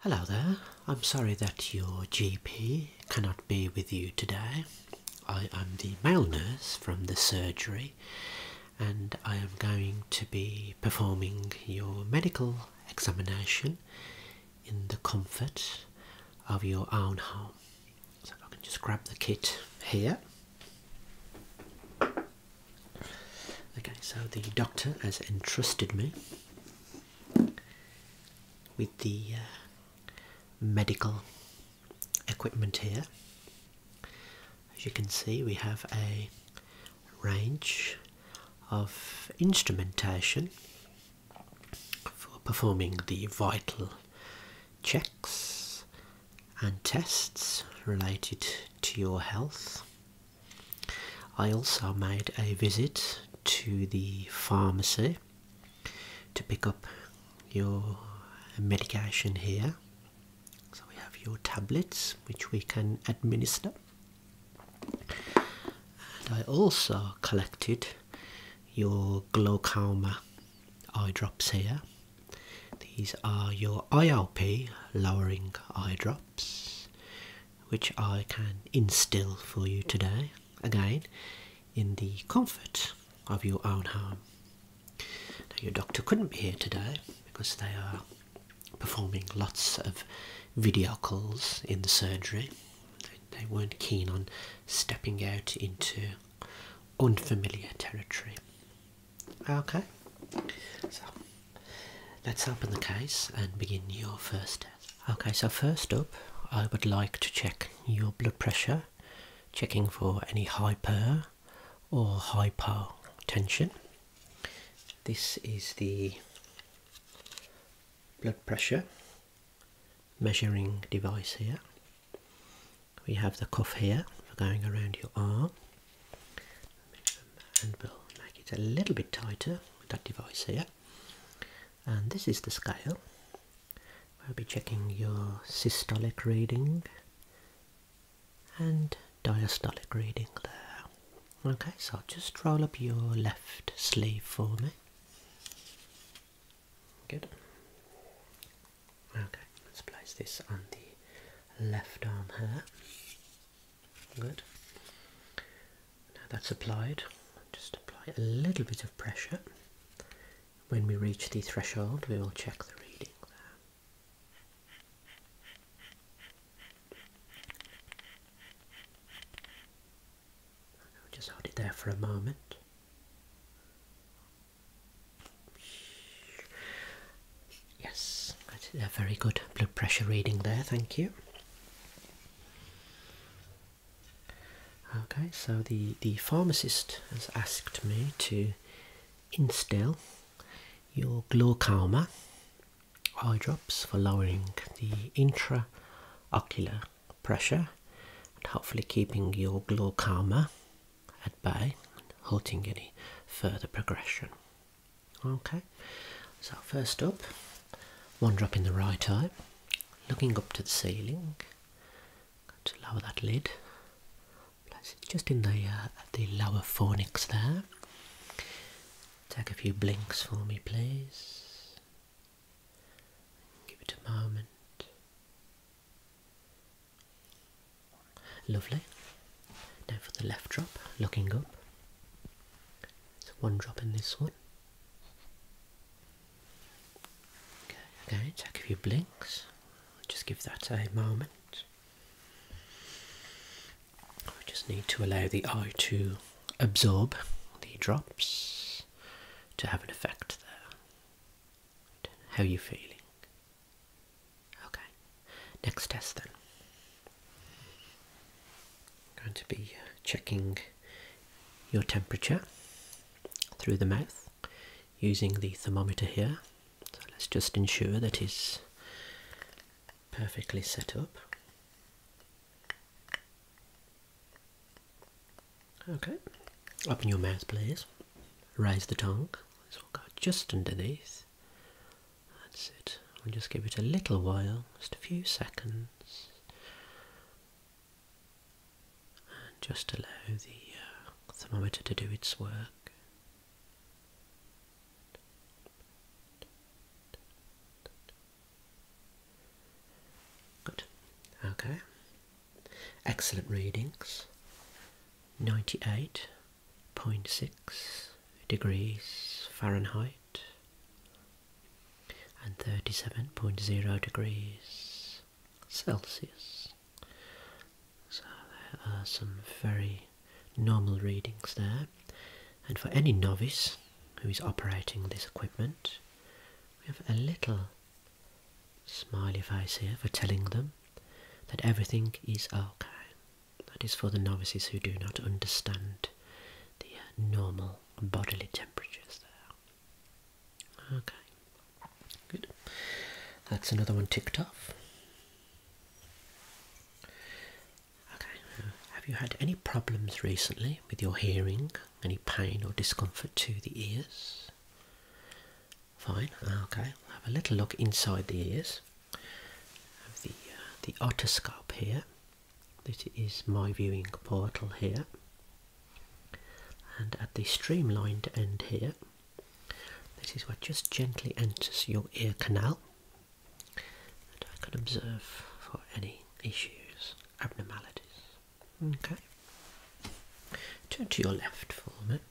Hello there. I'm sorry that your GP cannot be with you today. I am the male nurse from the surgery and I am going to be performing your medical examination in the comfort of your own home. So I can just grab the kit here. Okay, so the doctor has entrusted me with the uh, medical equipment here. As you can see, we have a range of instrumentation for performing the vital checks and tests related to your health I also made a visit to the pharmacy to pick up your medication here. So we have your tablets which we can administer, and I also collected your glaucoma eye drops here. These are your IOP lowering eye drop which I can instill for you today, again in the comfort of your own home. your doctor couldn't be here today because they are performing lots of video calls in the surgery. They, weren't keen on stepping out into unfamiliar territory. Okay, Let's open the case and begin your first test. Okay, so first up, I would like to check your blood pressure, checking for any hyper or hypotension. This is the blood pressure measuring device here. We have the cuff here for going around your arm and we'll make it a little bit tighter with that device here and this is the scale we'll be checking your systolic reading and diastolic reading there okay so just roll up your left sleeve for me good okay let's place this on the left arm here Good. Now that's applied. Just apply a little bit of pressure. When we reach the threshold, we will check the reading there. just hold it there for a moment. Yes, a very good blood pressure reading there, thank you. Okay, so the, the pharmacist has asked me to instill your glaucoma eye drops for lowering the intraocular pressure and hopefully keeping your glaucoma at bay and halting any further progression. Okay, so first up, one drop in the right eye, looking up to the ceiling. Going to lower that lid, just in the uh, the lower fornix there. Take a few blinks for me, please. Give it a moment. Lovely. Now for the left drop, looking up. one drop in this one. Okay, again, check if you blinks. Just give that a moment. We just need to allow the eye to absorb the drops to have an effect there. How are you feeling? Okay, next test then. I'm going to be checking your temperature through the mouth using the thermometer here. So let's just ensure that it's perfectly set up. Okay, open your mouth please. Raise the tongue. This will go just underneath. That's it. We'll just give it a little while, just a few seconds. And just allow the uh, thermometer to do its work. Good. Okay. Excellent readings. 98 0.6 degrees Fahrenheit and 37.0 degrees Celsius. So there are some very normal readings there. And for any novice who is operating this equipment, we have a little smiley face here for telling them that everything is okay. That is for the novices who do not understand the uh, normal bodily temperatures there. Okay, good. That's another one ticked off. Okay, have you had any problems recently with your hearing? Any pain or discomfort to the ears? Fine. Okay. We'll have a little look inside the ears. Have the uh, the otoscope here. This is my viewing portal here. And at the streamlined end here, this is where just gently enters your ear canal. And I can observe for any issues, abnormalities. Okay. Turn to your left for a minute.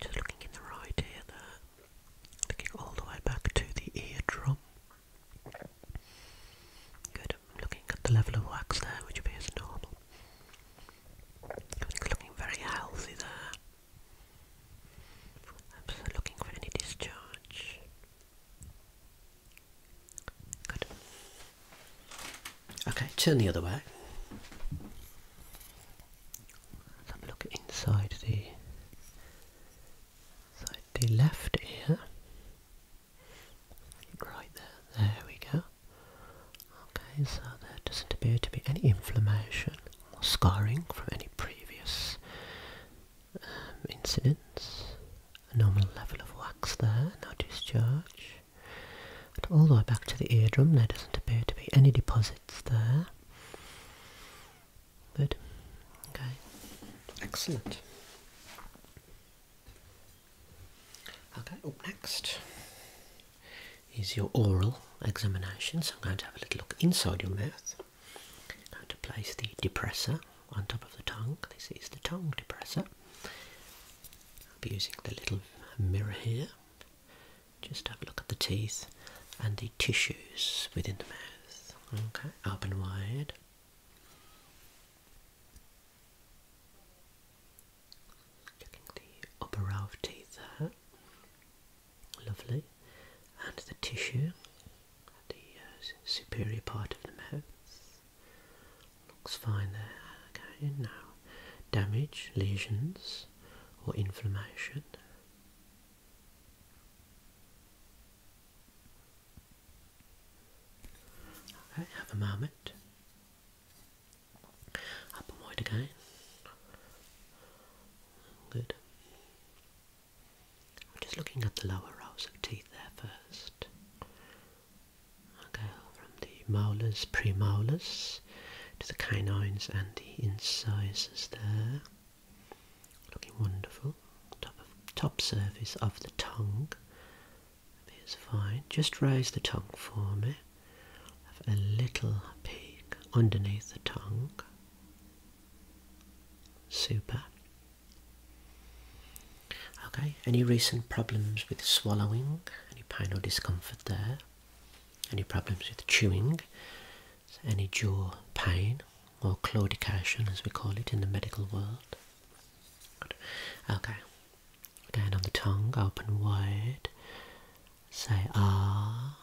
Just looking in the right ear there, looking all the way back to the eardrum. Good, looking at the level of wax there, which appears normal. looking very healthy there. I'm looking for any discharge. Good. Okay, turn the other way. Let's have a look inside the inside the left ear. Right there, there we go. Okay, so there doesn't appear to be any inflammation or scarring from any previous um, incidents. normal level of wax there, no discharge all the way back to the eardrum. There doesn't appear to be any deposits there. Good. Okay. Excellent. Okay, up next is your oral examination. So I'm going to have a little look inside your mouth. I'm going to place the depressor on top of the tongue. This is the tongue depressor. I'll be using the little mirror here. Just have a look at the teeth and the tissues within the mouth. Okay, up wide. Checking the upper row of teeth there. Lovely. And the tissue, the uh, superior part of the mouth. Looks fine there. Okay, now damage, lesions, or inflammation. Okay, have a moment. Up and wide again. Good. I'm just looking at the lower rows of teeth there first. Okay, from the molars, premolars to the canines and the incisors there. Looking wonderful. Top top surface of the tongue appears fine. Just raise the tongue for me. Have a little peek underneath the tongue. Super. Okay, any recent problems with swallowing? Any pain or discomfort there? Any problems with chewing? Any jaw pain or claudication as we call it in the medical world? Okay, Again, on the tongue, open wide, say ah,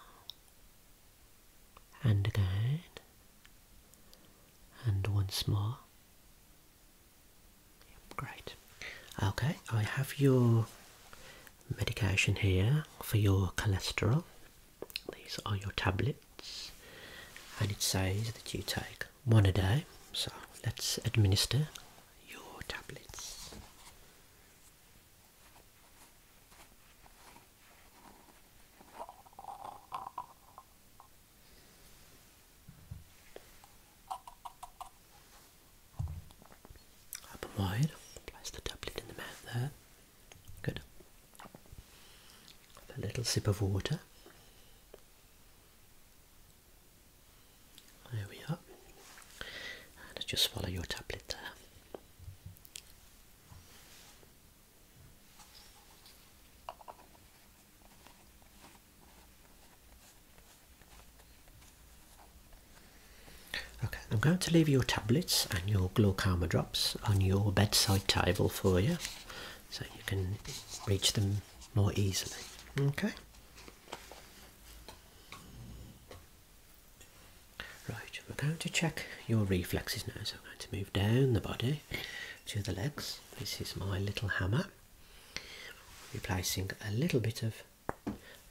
and again, and once more. Great. Okay, I have your medication here for your cholesterol. These are your tablets, and it says that you take one a day. So let's administer your tablets. Up wide. Place the doublet in the mouth there. Good. a little sip of water. There we are. And just swallow your tablet there. Okay, I'm going to leave your tablets and your glaucoma drops on your bedside table for you so you can reach them more easily. Okay? Right, we're going to check your reflexes now. So I'm going to move down the body to the legs. This is my little hammer replacing a little bit of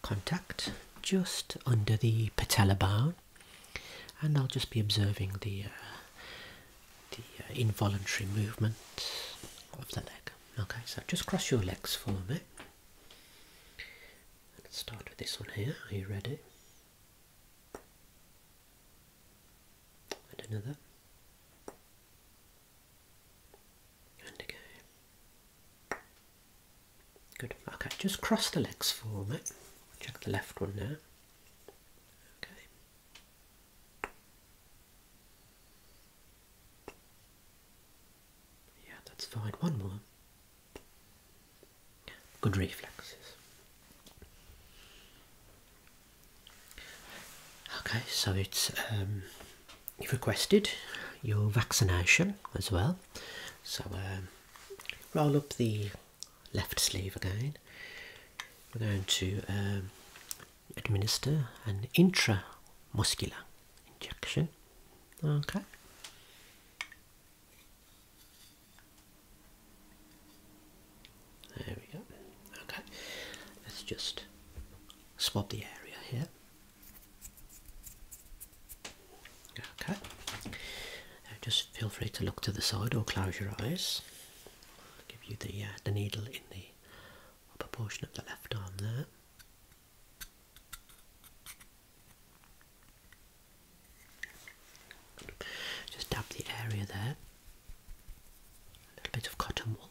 contact just under the patella bone and I'll just be observing the uh, the uh, involuntary movement of the leg okay so just cross your legs for a me let's start with this one here are you ready and another, and again. Good. Okay, just cross the legs for me. Check the left one now. Okay. Yeah, that's fine. One more. Good reflexes. Okay, so it's um, you've requested your vaccination as well. So um, roll up the left sleeve again. We're going to um, administer an intramuscular injection. Okay. There we go. Okay, let's just swap the area here. Okay, just feel free to look to the side or close your eyes. give you the, uh, the needle in the upper portion of the left arm there. Just dab the area there a little bit of cotton wool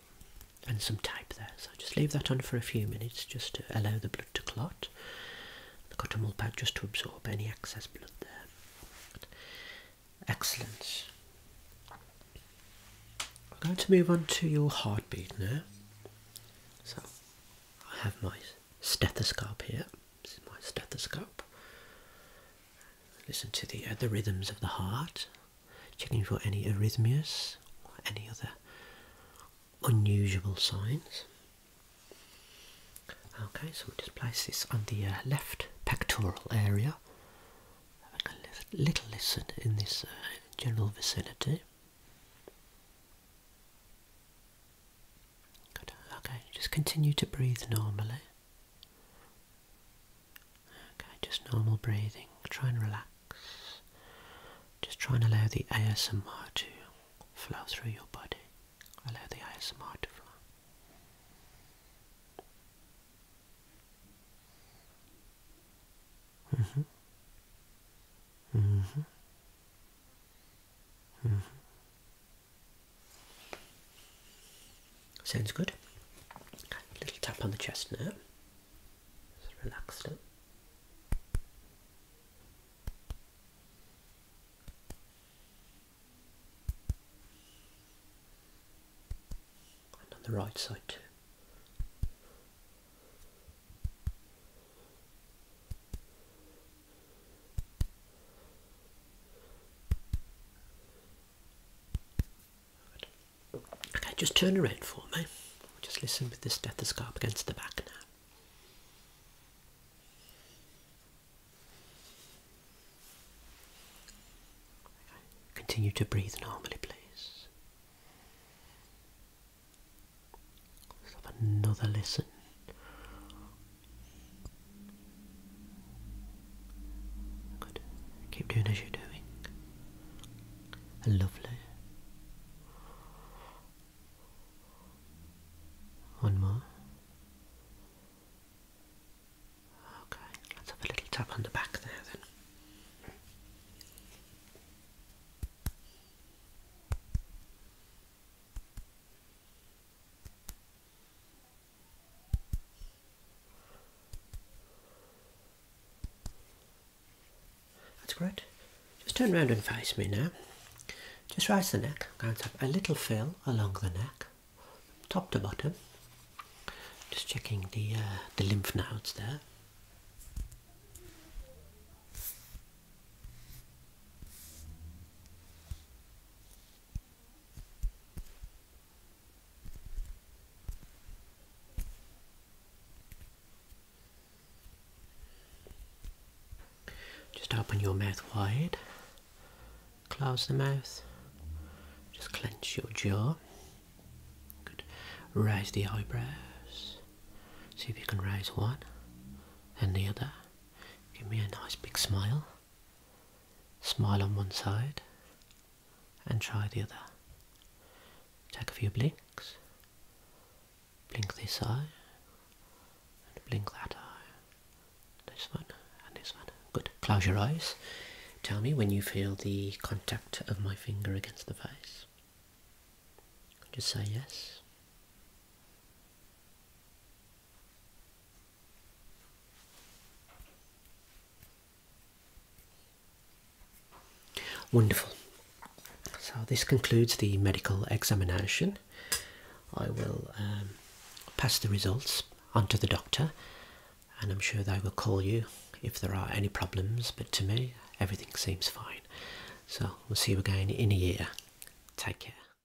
and some tape there. So just leave that on for a few minutes just to allow the blood to clot. The cotton wool pad just to absorb any excess blood there. Excellent. I'm going to move on to your heartbeat now. So I have my stethoscope here. This is my stethoscope. Listen to the uh, the rhythms of the heart, checking for any arrhythmias or any other unusual signs. Okay, so we'll just place this on the uh, left pectoral area. a little listen in this uh, general vicinity. Good. Okay, just continue to breathe normally. Okay, just normal breathing. Try and relax. Just try and allow the ASMR to flow through your body. Allow the ASMR to flow. Mm-hmm. Mm-hmm. Mm-hmm. Sounds good. A little tap on the chest now. Just relax now. And on the right side too. Okay, just turn around for me. just listen with the stethoscope against the back now. Continue to breathe normally, please. Let's have another listen. Good. Keep doing as you're doing. Lovely. One more. Okay, let's have a little tap on the back there then. That's great. Just turn around and face me now. Just raise the neck. i going to have a little feel along the neck, top to bottom. Just checking the uh, the lymph nodes there. Just open your mouth wide, close the mouth, just clench your jaw. Good. Raise the eyebrows. See if you can raise one and the other. Give me a nice big smile. Smile on one side and try the other. Take a few blinks. Blink this eye and blink that eye. This one and this one. Good. Close your eyes. Tell me when you feel the contact of my finger against the face. Just say yes. Wonderful. So this concludes the medical examination. I will um, pass the results on to the doctor and I'm sure they will call you if there are any problems but to me everything seems fine. So we'll see you again in a year. Take care.